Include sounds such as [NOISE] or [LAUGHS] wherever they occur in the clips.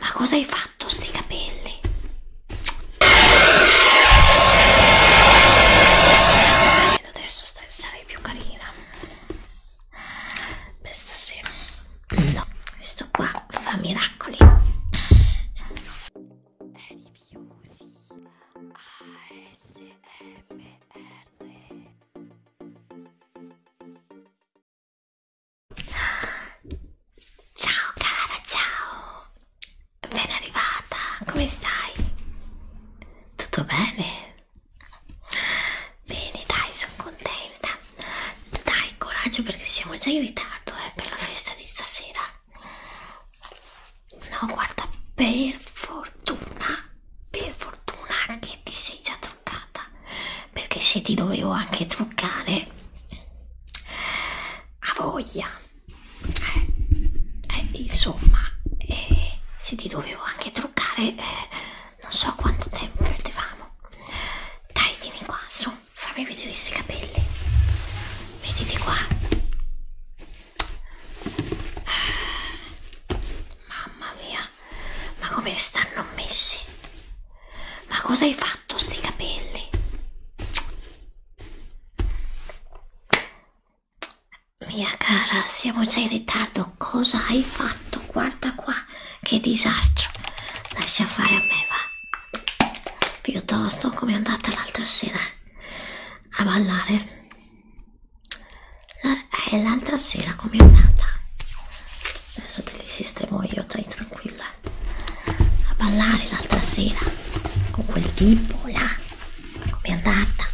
Ma cosa hai fatto sti capelli? Adesso stai, sarai più carina. Per stasera. No, questo qua fa miracoli. Ciao cara, ciao! Ben arrivata, come stai? Tutto bene? Bene, dai, sono contenta. Dai, coraggio perché siamo già in ritardo eh, per la festa di stasera. No, guarda, per fortuna, per fortuna che ti sei già trovata truccata perché se ti dovevo anche truccare a voglia eh, eh, insomma eh, se ti dovevo anche truccare eh, non so quanto tempo perdevamo dai vieni qua su fammi vedere questi capelli vedete qua ah, Mamma mia, ma come stanno messi? Ma cosa hai fatto sti capelli? Mia cara, siamo già in ritardo. Cosa hai fatto? Guarda qua, che disastro. Lascia fare a me, va. Piuttosto come è andata l'altra sera a ballare. È eh, l'altra sera come è andata? adesso te li sistemo io dai tranquilla a ballare l'altra sera con quel tipo là com'è andata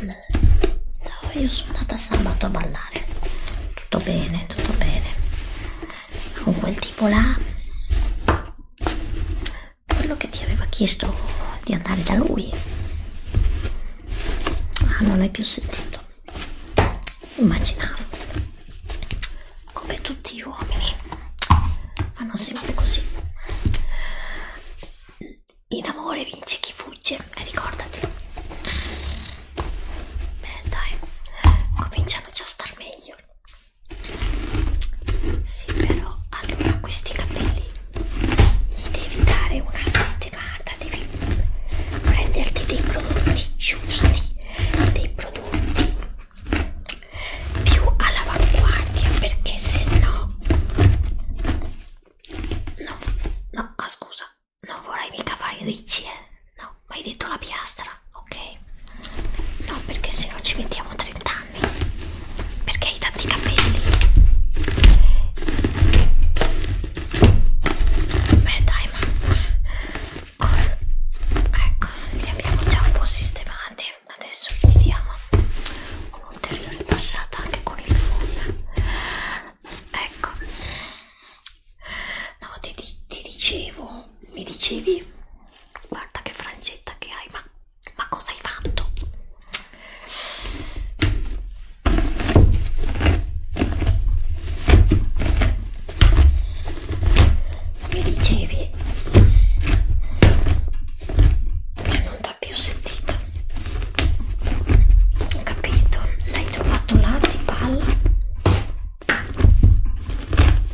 no io sono andata sabato a ballare tutto bene tutto bene con quel tipo là quello che ti aveva chiesto di andare da lui Ah, non l'hai più sentito. Immaginavo. Come tutti gli uomini fanno sempre così. In amore vince chi fugge, e ricordati. Beh, dai, cominciano già a star meglio. Sì, però allora questi capelli gli devi dare una sistemata, devi prenderti dei prodotti giusti, dei prodotti più all'avanguardia perché se no no, no, ah, scusa, non vorrai mica fare i ricci, eh? no, ma hai detto la piastra, ok? No, perché se no ci mettiamo 30 anni perché hai tanti capelli beh dai ma ecco li abbiamo già un po' sistemati adesso ci diamo un'ulteriore passata anche con il full ecco no ti, ti dicevo mi dicevi guarda che frangetta che hai ma ma cosa hai fatto? Mi dicevi che non t'ha più sentita. Ho capito, l'hai trovato là, ti palla.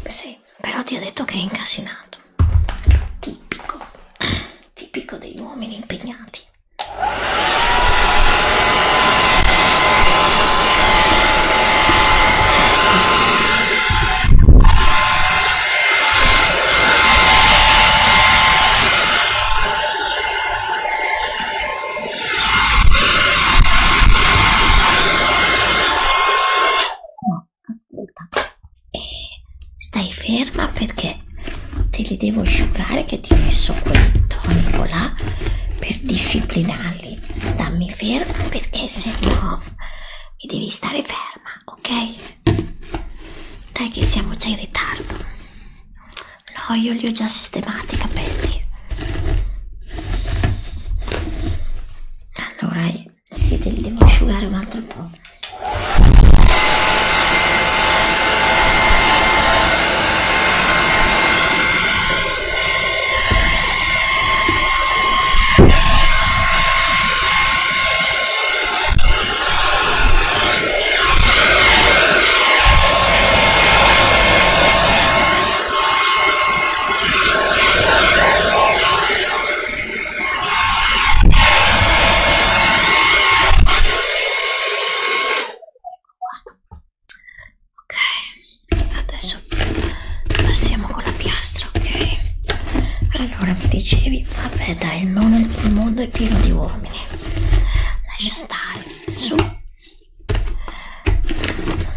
Sì, però ti ha detto che è incasinato. Tipico tipico degli uomini impegnati. No, ascolta stai ferma perché te li devo asciugare che ti ho messo quel tonico là per disciplinarli stammi ferma perché se no mi devi stare ferma ok dai che siamo già in ritardo no io li ho già sistemati i capelli allora sì, te li devo asciugare un altro po'. Ok, adesso passiamo con la piastra, ok? Allora mi dicevi, vabbè dai, il mondo, il mondo è pieno di uomini. Lascia stare, su. Non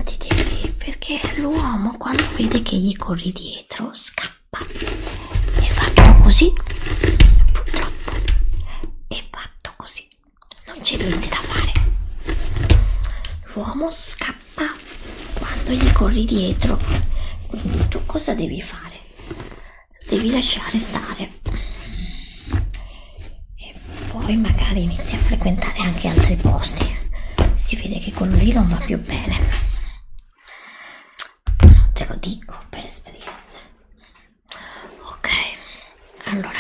ti devi, perché l'uomo quando vede che gli corri dietro scappa tappa è fatto così purtroppo è fatto così non c'è niente da fare l'uomo scappa quando gli corri dietro quindi tu cosa devi fare devi lasciare stare e poi magari inizi a frequentare anche altri posti si vede che quello lì non va più bene te lo dico per esperienza ok allora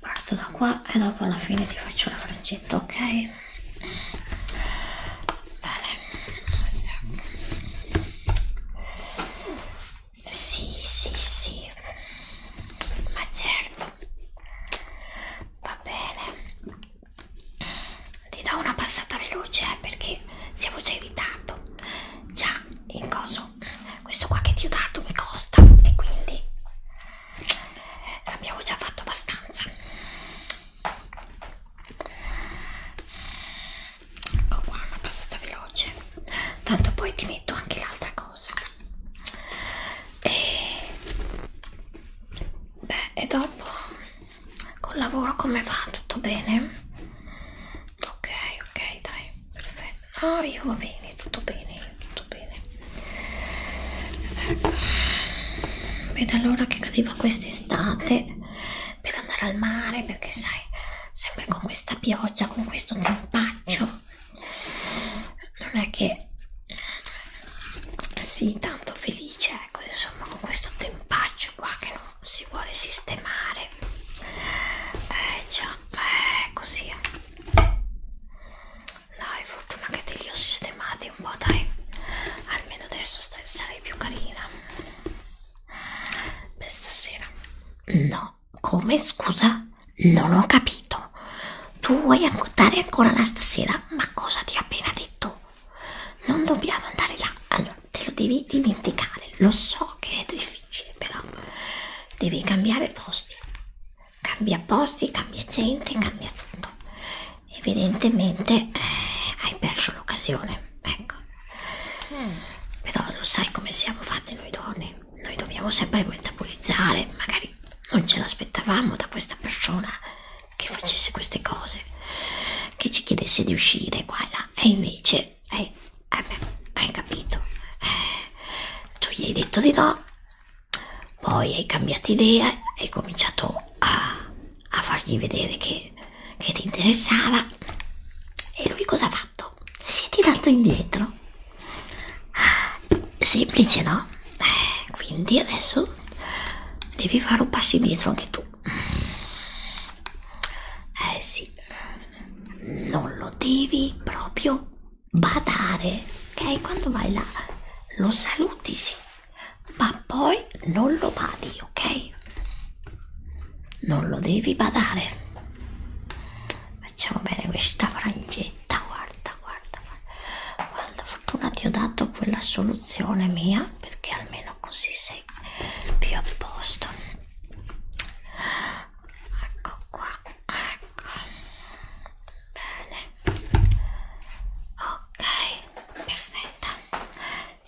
parto da qua e dopo alla fine ti faccio la frangetta ok bene sì sì sì ma certo va bene ti do una passata veloce eh, perché siamo già in ritardo già in coso questo qua che ti ho dato mi costa e quindi abbiamo già fatto abbastanza ecco qua una passata veloce tanto poi ti metto anche l'altra cosa e beh e dopo Col lavoro come va? Tutto bene? Ok, ok, dai, perfetto. Oh, io va bene, tutto bene, tutto bene. Ecco. Vedo allora che cadeva quest'estate per andare al mare, perché sai, sempre con questa pioggia, con questo tempaccio, non è che sì, tanto felice, ecco, insomma, con questo tempaccio qua che non si vuole sistemare. Eh già, eh, così è. Eh. Dai, fortuna che te li ho sistemati un po', dai. Almeno adesso sarai più carina. Per stasera. No, come scusa? Non ho capito. Tu vuoi dare ancora la stasera? Ma cosa ti ha appena detto non dobbiamo andare là allora te lo devi dimenticare lo so che è difficile però devi cambiare posti cambia posti cambia gente cambia tutto evidentemente eh, hai perso l'occasione ecco mm. però lo sai come siamo fatti noi donne noi dobbiamo sempre metabolizzare magari non ce l'aspettavamo da questa persona che facesse queste cose, che ci chiedesse di uscire qua e là, e invece, eh, eh beh, hai capito, eh, tu gli hai detto di no, poi hai cambiato idea, hai cominciato a, a fargli vedere che, che ti interessava, e lui cosa ha fatto? Si è tirato indietro. Ah, semplice no? Eh, quindi adesso devi fare un passo indietro anche tu eh sì non lo devi proprio badare ok quando vai là lo saluti sì ma poi non lo badi ok non lo devi badare facciamo bene questa frangetta guarda, guarda, guarda, guarda, fortuna ti ho dato quella soluzione mia perché almeno così sei più a posto. Ecco qua, ecco, bene, ok, perfetta.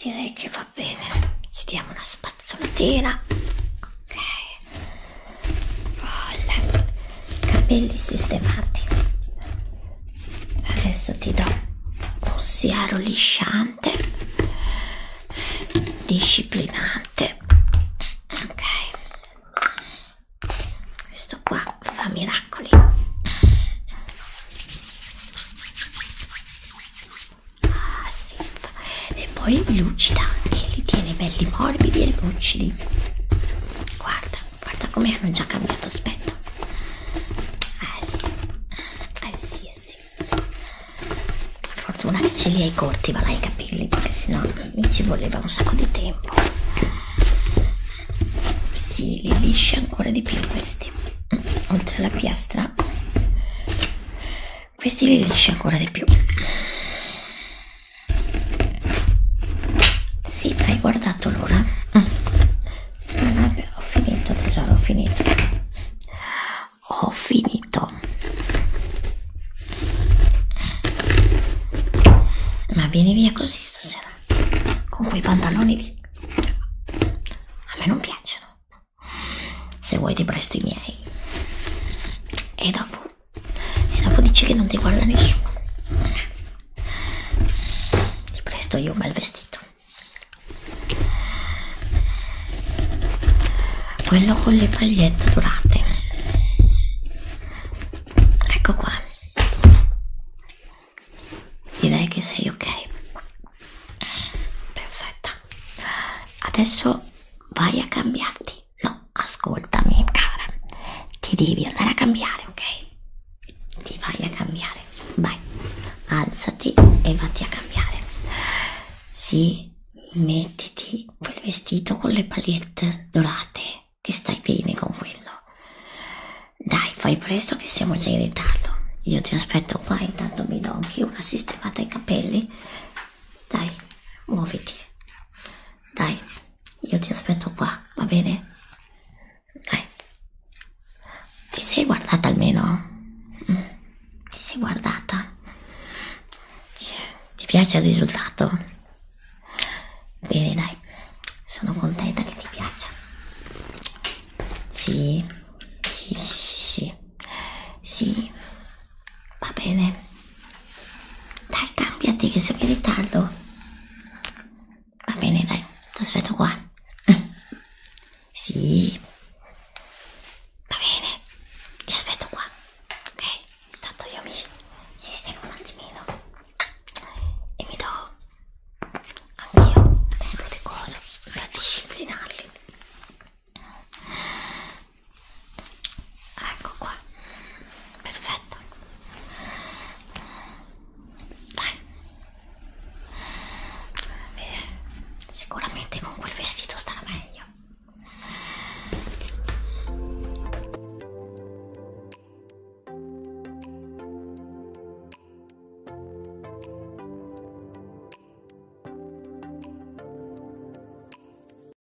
Direi che va bene, ci diamo una spazzolatina. Ok, voilà capelli sistemati adesso ti do un siaro lisciante disciplinante ok questo qua fa miracoli ah sì e poi li lucida e li tiene belli morbidi e lucidi guarda guarda come hanno già cambiato aspetto eh sì eh sì eh sì fortuna che ce li hai corti va là i capelli perché sennò mi ci voleva un sacco di tempo si li liscia ancora di più questi mm, oltre alla piastra questi li liscia ancora di più sì, hai guardato l'ora? Mm. Vabbè, ho finito tesoro, ho finito. Ho finito. Ma vieni via così stasera, con quei pantaloni lì. A me non piacciono. Se vuoi ti presto i miei. E dopo e dopo dici che non ti guarda nessuno. Ti presto io un bel vestito. Quello con le pagliette dorate. Ecco qua. Direi che sei ok. Perfetta. Adesso vai a cambiarti no, ascoltami cara, ti devi andare a cambiare, ok? Ti vai a cambiare, vai, alzati e vatti a cambiare. Sì, mettiti quel vestito con le pagliette dorate che stai bene con quello. Dai, fai presto che siamo già in ritardo. Io ti aspetto qua, intanto mi do anch'io una sistemata ai capelli. Dai, muoviti. Dai, io ti aspetto qua, va bene? Dai. Ti sei guardata almeno? Mm. Ti sei guardata? Ti, ti piace il risultato? Bene, dai. Sono contenta che ti piaccia. Sì. Sì, sì, sì, sì. Sì. Va bene. Dai, cambiati che siamo in ritardo. Va bene, dai, ti aspetto qua. [LAUGHS] Sì. Va bene, ti aspetto qua. Ok, intanto io mi sistemo un attimino e mi do anch'io un po' di cose per disciplinarli ecco qua perfetto dai eh, sicuramente con quel vestito starà meglio